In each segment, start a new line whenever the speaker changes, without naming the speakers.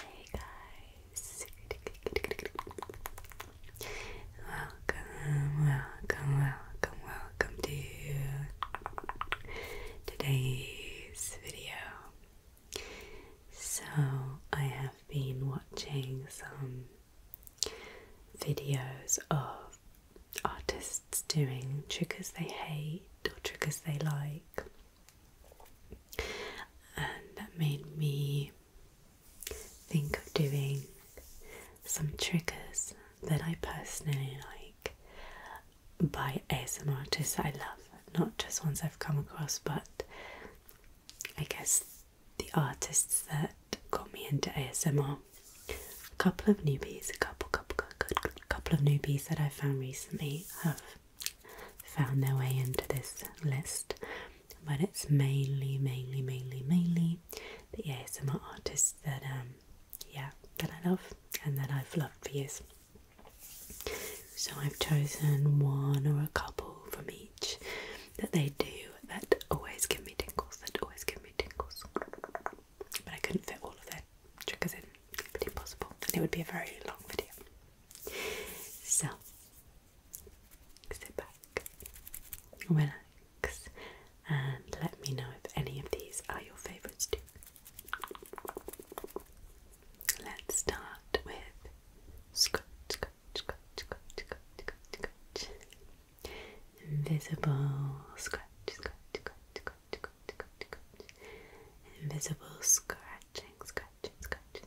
Hey guys! Welcome, welcome, welcome, welcome to today's video. So, I have been watching some videos of artists doing tricks they hate or tricks they like and that made me think of doing some triggers that I personally like by ASMR artists I love, not just ones I've come across, but I guess the artists that got me into ASMR. A couple of newbies, a couple, couple, couple, couple of newbies that I found recently have found their way into this list, but it's mainly, mainly, mainly, mainly the ASMR artists that um yeah that I love and that I've loved for years. So I've chosen one or a couple from each that they do that always give me tingles, that always give me tingles. But I couldn't fit all of their triggers in, impossible. And it would be a very long video. So, sit back, relax, and let me know if any of these are your favourites too. Let's start with scratch, scratch, scratch, scratch, scratch, scratch, scratch. Invisible scratch, scratch, scratch, scratch, scratch, scratch, scratch. Invisible scratching, scratching, scratching,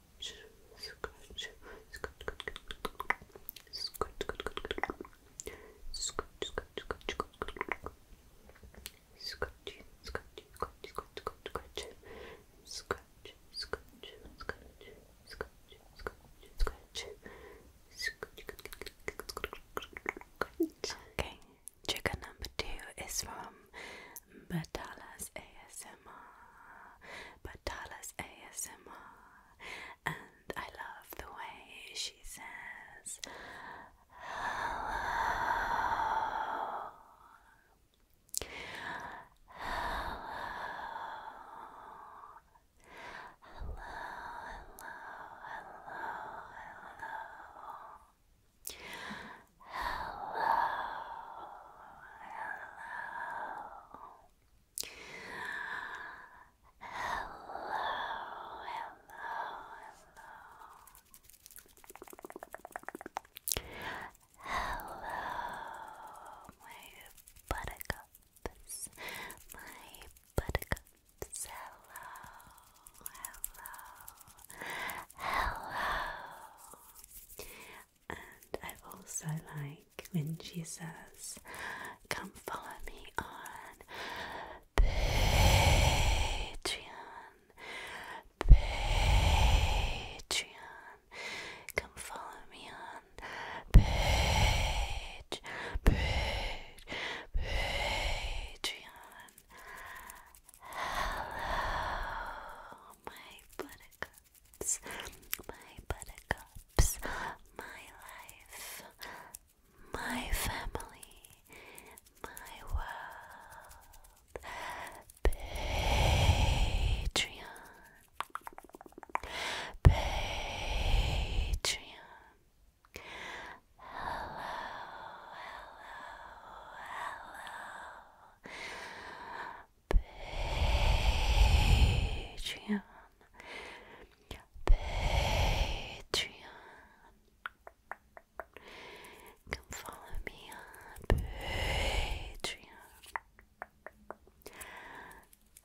scratch,
Okay, trigger number two is from Batalas ASMR, Batalas ASMR, and I love the way she says hello. Hello. Hello, hello, hello, hello hello, hello, hello,
hello, my buttercups, my buttercups, hello, hello.
Hello, and I also like when she says,
Come follow me on Patreon. Patreon. Come follow me on Patreon. Patreon. Hello, my buttercup buttercups, my buttercups, my life, my family, my world, Patreon, Patreon.
Hello, hello, hello. Patreon. Patreon. Come follow me Patreon.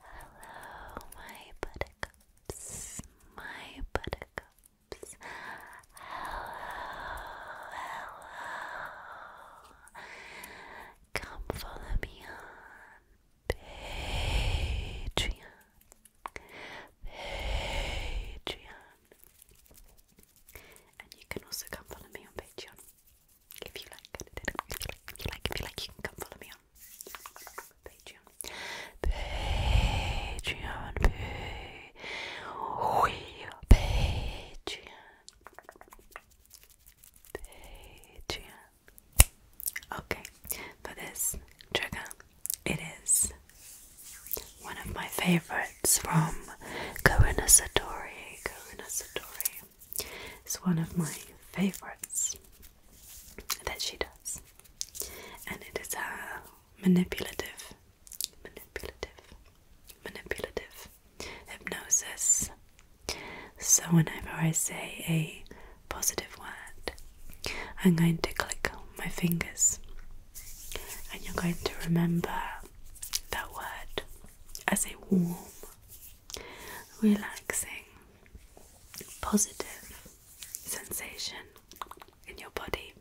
Hello, my buttercups, my buttercups. Hello, hello come follow me on Patreon. Patreon. And you can also come follow me on Patreon if you like. If you like, if you like, you can come follow me on Patreon. Patreon. Patreon. Patreon. Okay, for this trigger, it is one of my favorites from Karuna Satori. Karuna Satori is one of my favorites that she does, and it is a uh, manipulative, manipulative, manipulative hypnosis. So, whenever I say a positive word, I'm going to click my fingers and you're going to remember that word as a warm, relaxing, positive sensation in your body.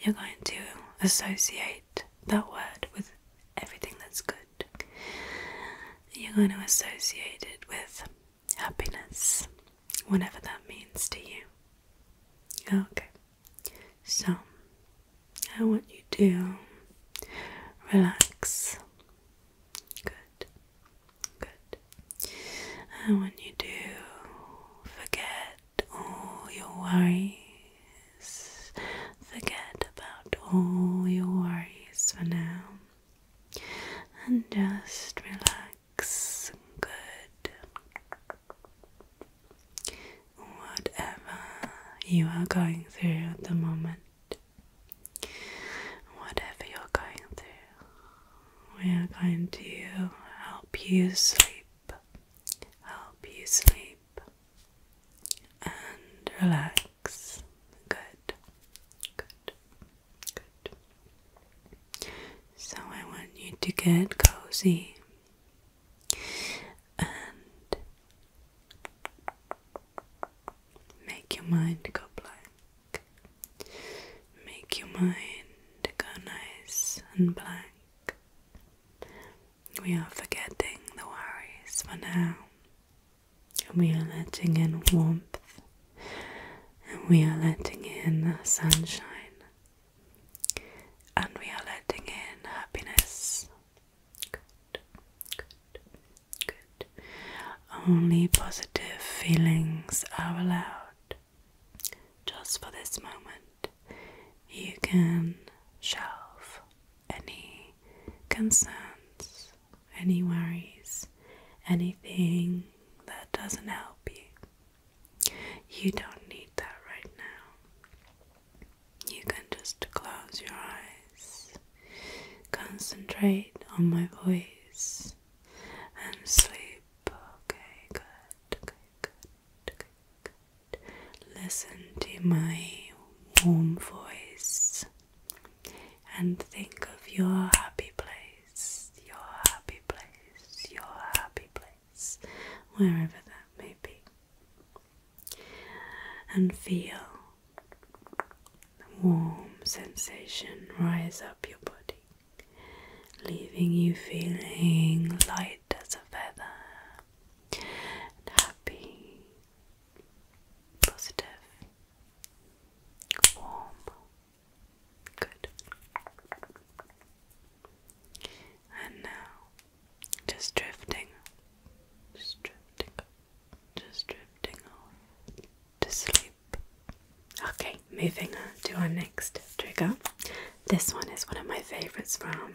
You're going to associate that word with everything that's good. You're going to associate it with happiness, whatever that means to you. Okay, so I want you to relax. Good, good. And when you do, forget all your worries Forget about all your worries for now and just relax. Good. Whatever you are going through at the moment. Whatever you're going through, we are going to help you sleep, help you sleep and relax. Good. Good. Good. So I want you to get cozy and make your mind go blank. Make your mind go nice and blank. We are forgetting the worries for now. And we are letting in warmth. And we are letting in sunshine. And we are letting in happiness. Good, good, good. Only positive feelings are allowed. Just for this moment, you can shelve any concerns, any worries, anything that doesn't help you. You don't need that right now. You can just close your eyes, concentrate on my voice, and sleep. Okay, good, okay, good, good. Listen to my warm voice and think of your happy place, your happy place, your happy place, wherever that may be. And feel the warm sensation rise up your body, leaving you feeling light as a feather and happy positive, warm, good. And now, just drifting, just drifting, just drifting off to sleep. Okay, moving on to our next trigger. This one is one of my favorites from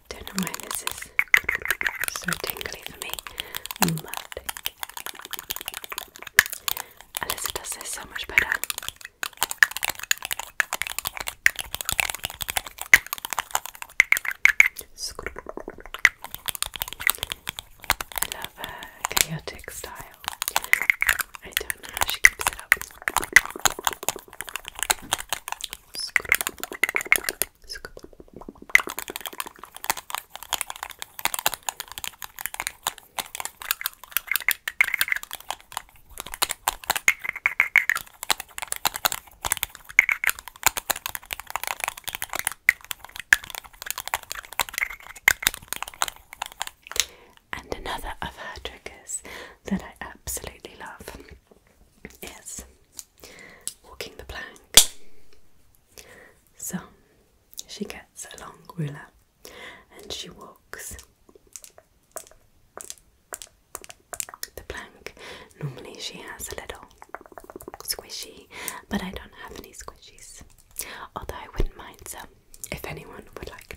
I Don't know why this is so tingly for me. Mud. Alyssa does so much better. I love her chaotic style. I don't know how she keeps it up. And another of her triggers that I absolutely love is walking the plank. So she gets a long ruler and she walks the plank. Normally she has a little squishy, but I don't have any squishies. Although I wouldn't mind some if anyone would like to.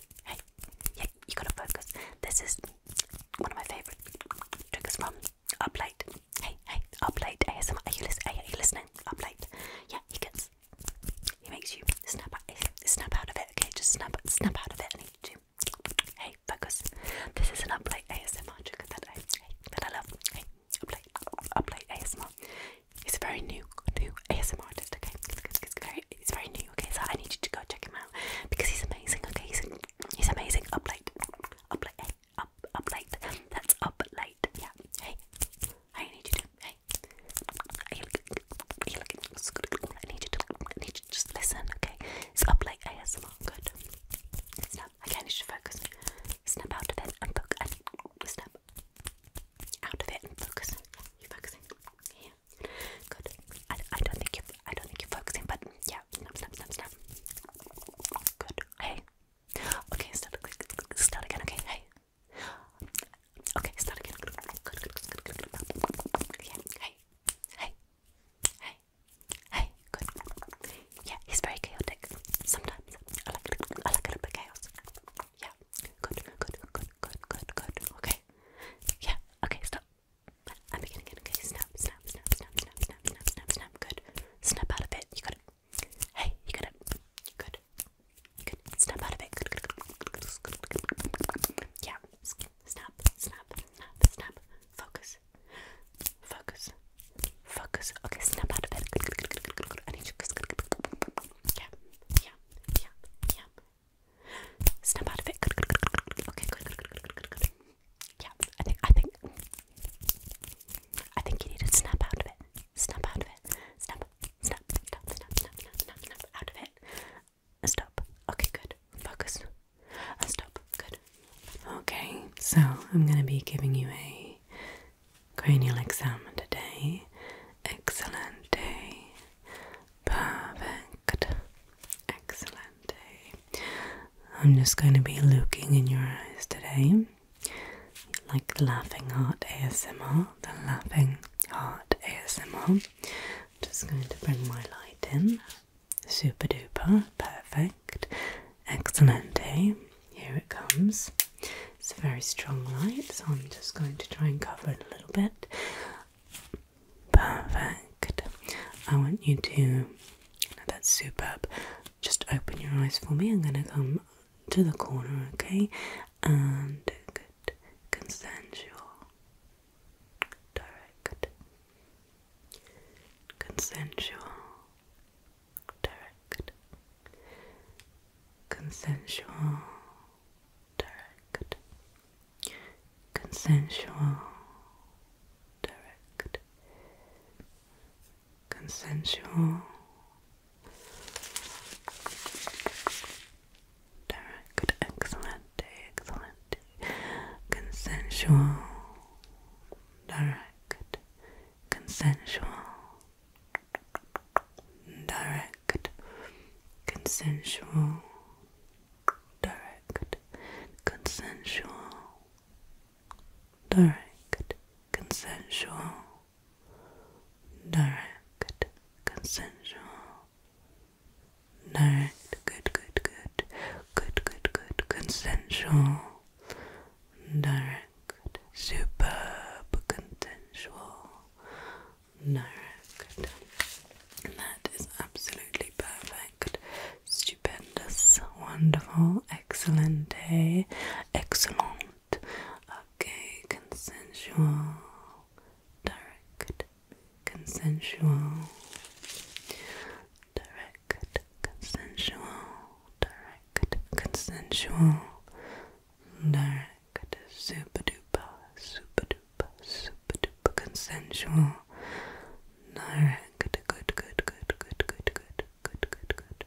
good. Hey, yeah, you gotta focus. This is one of my favorite triggers from Up Late. Hey, hey, Up Late ASMR. Are you, listen are you listening? Up Late. Yeah, he gets. He makes you snap out, snap out of it. Okay, just snap, snap out of it, and he do. Hey, focus. This is an Up Late ASMR trigger that I, hey, that I love. Hey, Up Late, Up Late ASMR. He's a very new, new ASMR artist. Okay, it's, it's, it's very very he's very new, okay? So I need you to go check him out because he's amazing, okay? He's he's amazing. Up late, up late, hey, up up late. That's up late. Yeah. Hey, I need you to. Hey, are you looking? Are you looking? I need you to. I need you to just listen, okay? It's up late ASMR. Good. Snap. Okay, I need you to focus. Snap out of it and focus. Snap out of it and focus. You focusing? Yeah. Good. I, I don't think you I don't think you're focusing, but yeah, snap, snap, snap, snap. Good. Hey. Okay, start again. Start again. Okay. Hey. Okay, start again. Good. Good. Good. Good. Good. good. Yeah. Hey. Hey. Hey. Hey. Good. Yeah, he's very chaotic. Sometimes I like it. I like a little bit chaos. Yeah. Good. Good. Good. Good. Good. Good. Okay. Yeah. Okay. Stop. I'm beginning again. Okay, snap, snap, snap, snap, snap, snap, snap, snap, Good. Snap out of it. You got it. Hey, you got it. Good. Good. Snap out of it. Good, good, good, good. Yeah. Snap, snap, snap, snap. Focus. Focus. Focus. Okay, snap out of it. Good, good, good, good, good, good. you. Yeah. Yeah. Yeah. Yeah. Snap out of it. Good, good, good, good, good. Okay, good, good, good, good, good, good. Yeah, I think, I think, I think you need to snap out of it. Snap out of it. Snap, snap, snap, snap, snap, snap, snap, snap out of it.
Stop. Okay, good. Focus. Stop. Good. Okay, so I'm going to be giving you a cranial exam today. Excellent day. Perfect. Excellent. I'm just going to be looking in your eyes today. Like the Laughing Heart ASMR, the Laughing Heart ASMR. just going to bring my light in. Super duper, perfect, excellent. Here it comes. It's a very strong light, so I'm just going to try and cover it a little bit. Perfect. I want you to. That's superb. Just open your eyes for me. I'm going to come to the corner, okay? And good. Consensual. Direct. Consensual. Direct. Consensual. Direct consensual, direct, consensual, direct, excellent, excellent, consensual, direct, consensual, direct, consensual, direct, consensual, direct, consensual, direct, consensual, direct, good, good, good, good, good, good, consensual, direct, superb, consensual, direct. that is absolutely perfect stupendous, wonderful, excellent day, eh? excellent, okay, consensual, direct, consensual, direct, consensual, direct, consensual, direct, super duper, super duper super consensual. Direct, good, good, good, good, good, good, good, good, good.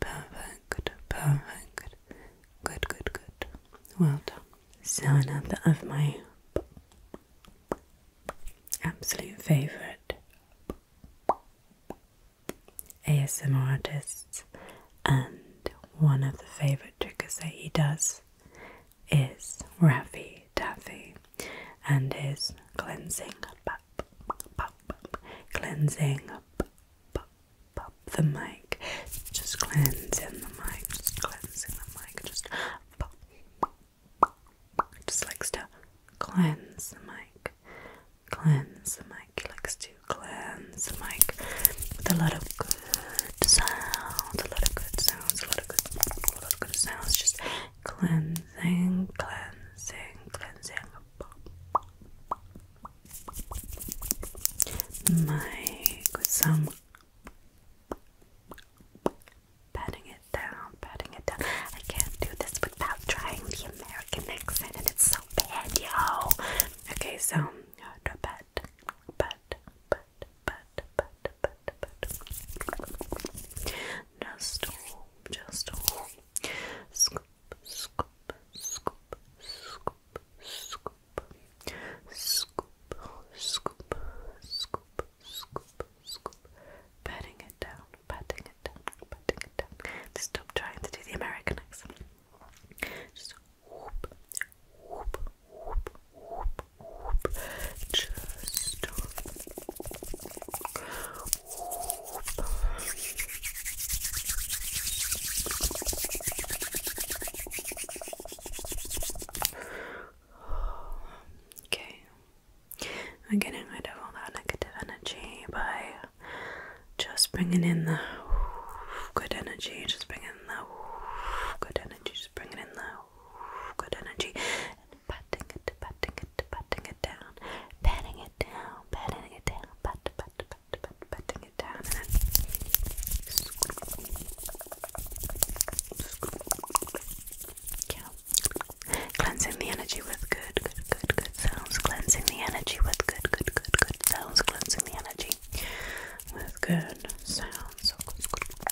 Perfect, perfect. Good, good, good. Well done. So another of my absolute favorite ASMR artists and one of the favorite triggers that he does is Raffy Taffy and is cleansing pop, cleansing the mic. Just cleansing the mic, just cleansing the mic, just pop, Just likes to cleanse the mic, cleanse the mic. likes to cleanse the mic with a lot of good sounds, a lot of good sounds, a lot of good, a lot of good sounds. Just cleansing, cleansing, cleansing.
Mic some patting it down, patting it down. I can't do this without trying the American accent, and it's so bad, yo. Okay, so uh, do but, but, but, but. Just all, just all. Scoop, scoop, scoop, scoop, scoop. Scoop, scoop, scoop, scoop, scoop. Patting it down, patting it down, patting it down. Stop trying to do the American accent. Just whoop, whoop, whoop, whoop, just
whoop. Okay, I'm getting rid of all that negative energy by just bringing in the good energy, just bringing in the good energy, just bringing in the good energy, patting it, patting it, patting it down, patting it down, patting it down,
pat, pat, pat, pat, patting it down, Cleansing the energy with good, good, good, good sounds. Cleansing the energy with good, good, good, good sounds. Cleansing the energy with good sounds.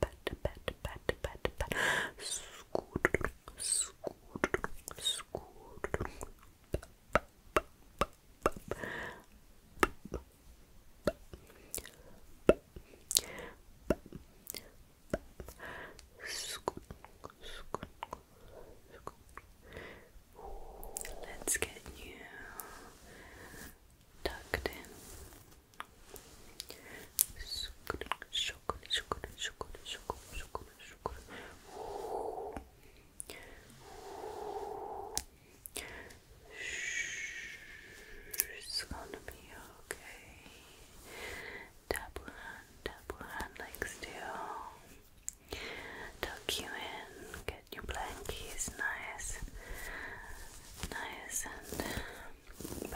pat, Let's get you tucked in it's gonna be okay. Tap one, like still. Tuck you in, get your blankies nice, nice and Perfect.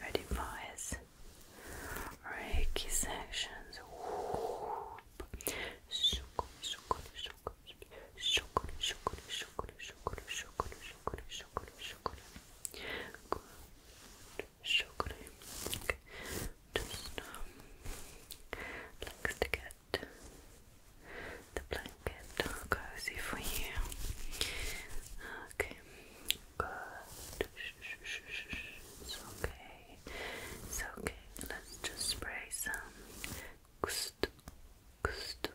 Ready for his Reiki sections. Good. Just
um, likes to get
the blanket cozy for you. Okay, It's okay. It's okay. Let's just spray some gust, gust,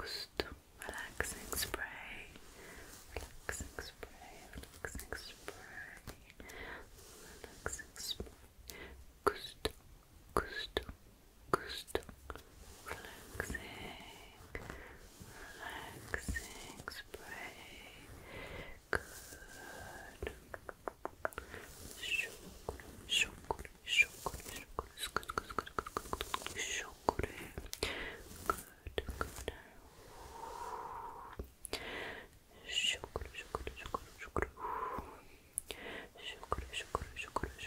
gust. Relaxing spray. Relaxing spray. Relaxing spray. Relaxing spray. Gust,
gust relaxed, relaxing, relaxing spray. Good. Chocolate, chocolate, chocolate, chocolate, good, good, good, good, good, good, chocolate. Good, good. Chocolate, chocolate, chocolate, chocolate. Chocolate, chocolate, chocolate, chocolate.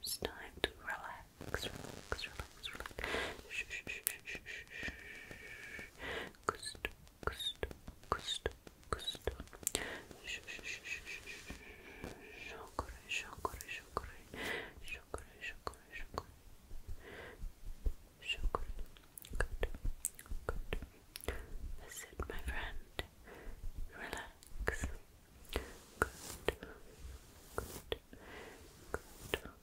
It's time to relax, Sugar. Good. Good. That's my friend. Relax. Good. Good. Good.